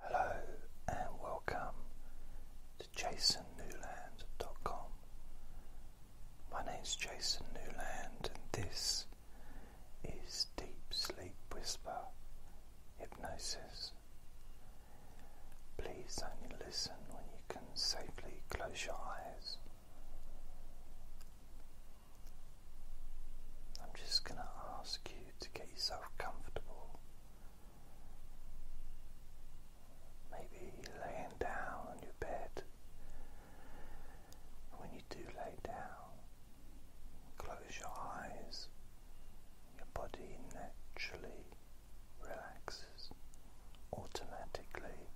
Hello and welcome to jasonnewland.com. My name is Jason Newland, and this is Deep Sleep Whisper Hypnosis. Please only listen when you can safely close your eyes. I'm just going to ask you to get yourself comfortable. Maybe laying down on your bed. When you do lay down, close your eyes, your body naturally relaxes automatically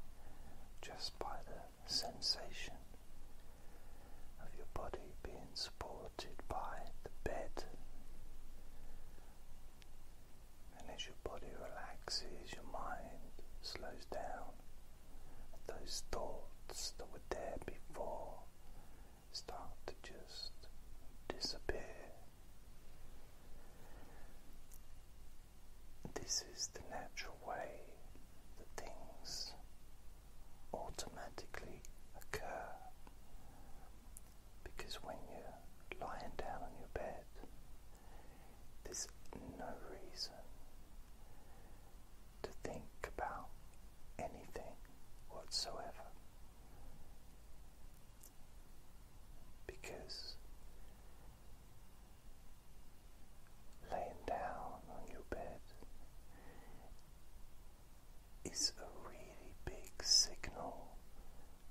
just by the sensation of your body being supported by the bed. And as your body relaxes, your mind slows down. Those thoughts that were there before start to just disappear. This is the natural way that things automatically occur because when you're lying down on your bed, there's no reason to think about anything whatsoever because laying down on your bed is a really big signal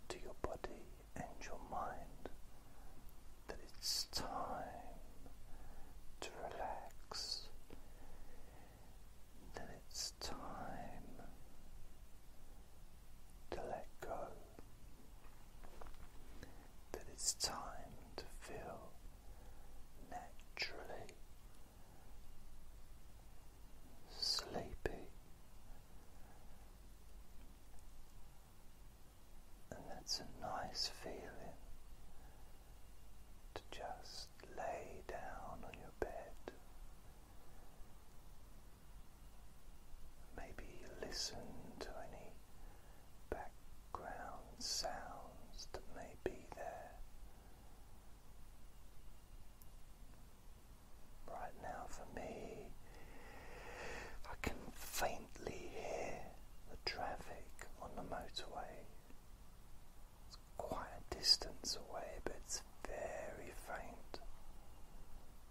to your body and your mind that it's time to relax, that it's time to let go, that it's time to feel naturally sleepy, and that's a nice feeling to just lay down on your bed. Maybe listen to any background sounds that may be there Right now, for me, I can faintly hear the traffic on the motorway. It's quite a distance away, but it's very faint.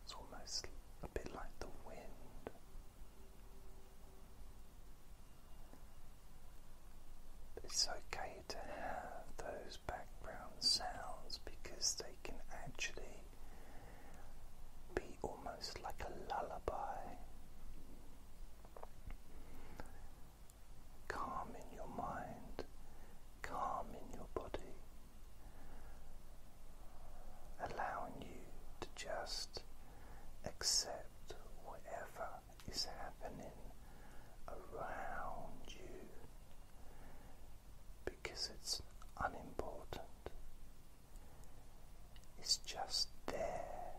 It's almost a bit like the wind. It's okay to have those background sounds because they can actually be almost like a lullaby, calm in your mind, calm in your body, allowing you to just accept whatever is happening around you because it's unimportant. It's just there.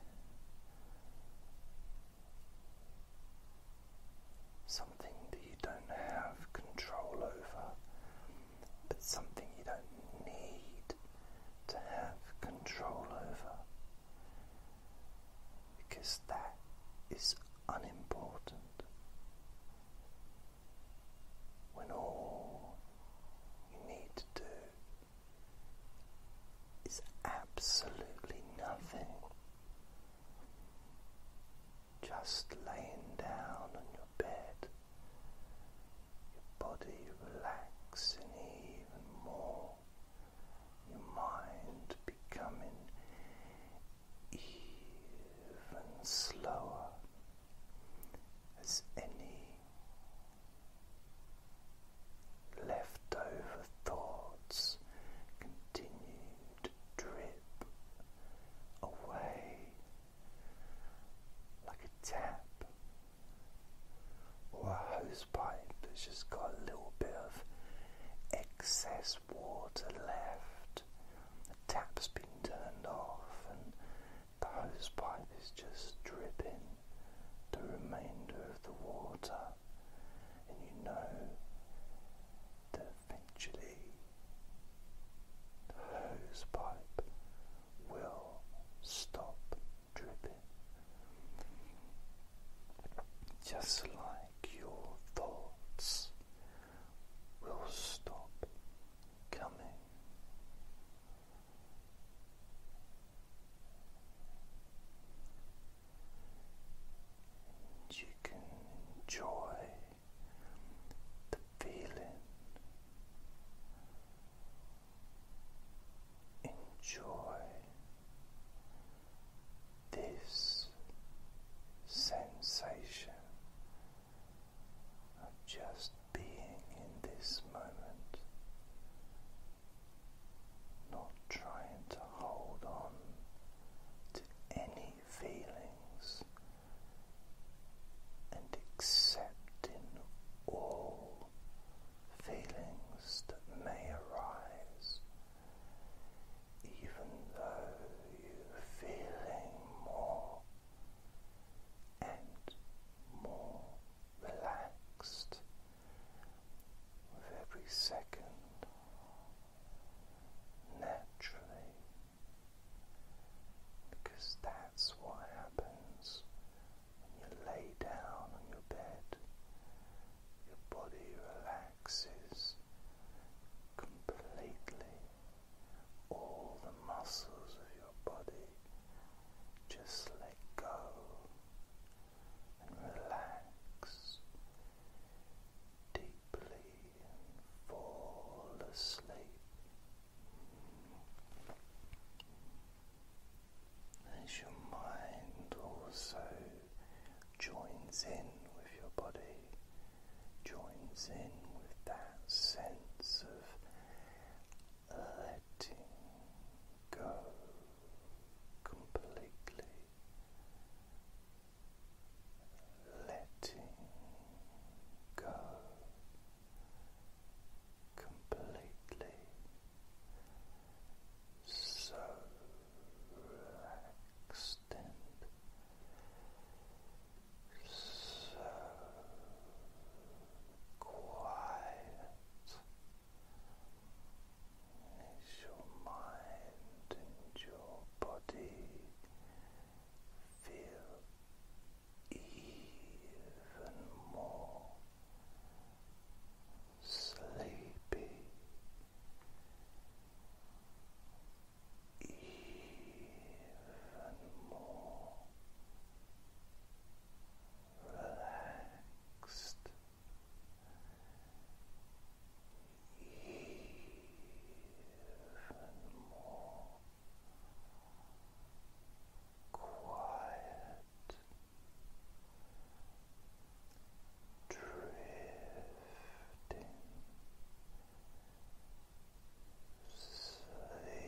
Something that you don't have control over, but something you don't need to have control over because that is unimportant when all you need to do is absolutely nothing. Just laying down on your bed, your body relaxing even more your mind becoming even slower as any leftover thoughts continue to drip away like a tap. Or a hose pipe that's just got a little bit of excess water left. The tap's been turned off, and the hose pipe is just dripping the remainder of the water. And you know that eventually the hose pipe will stop dripping. Just like your thoughts will stop coming. And you can enjoy the feeling, enjoy this sensation of just being in this moment, not trying to hold on to any feelings and accepting all feelings that may arise even though you're feeling more and more relaxed with every second naturally because that's what happens when you lay down on your bed your body relaxes completely, all the muscles of your body just let go and relax deeply and fall asleep as your mind also joins in with your body, joins in with that sense of letting go completely. Letting go completely so relaxed and so quiet as your mind and your body feel even more sleepy, even more relaxed. Even more quiet, drifting sleepy drifting Sleepy,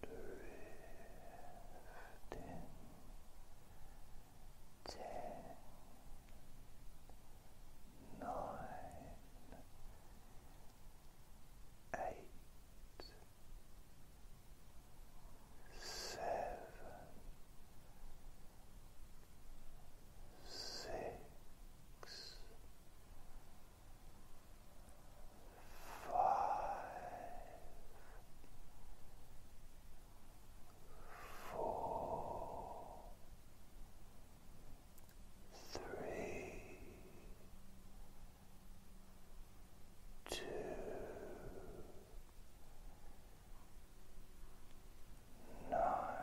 drifting ten nine eight seven six four, three, two, nine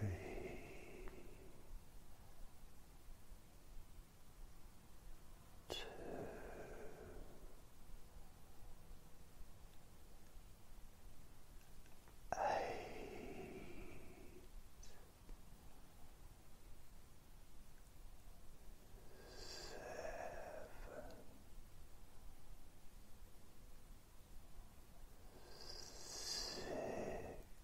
three, two, eight, seven. Six,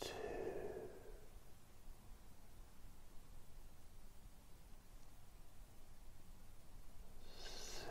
two, seven, six.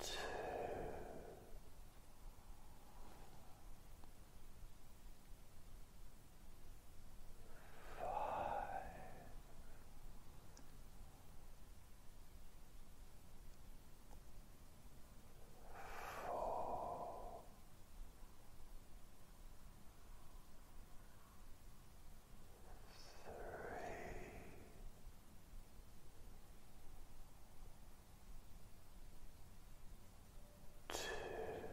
Two. Five two four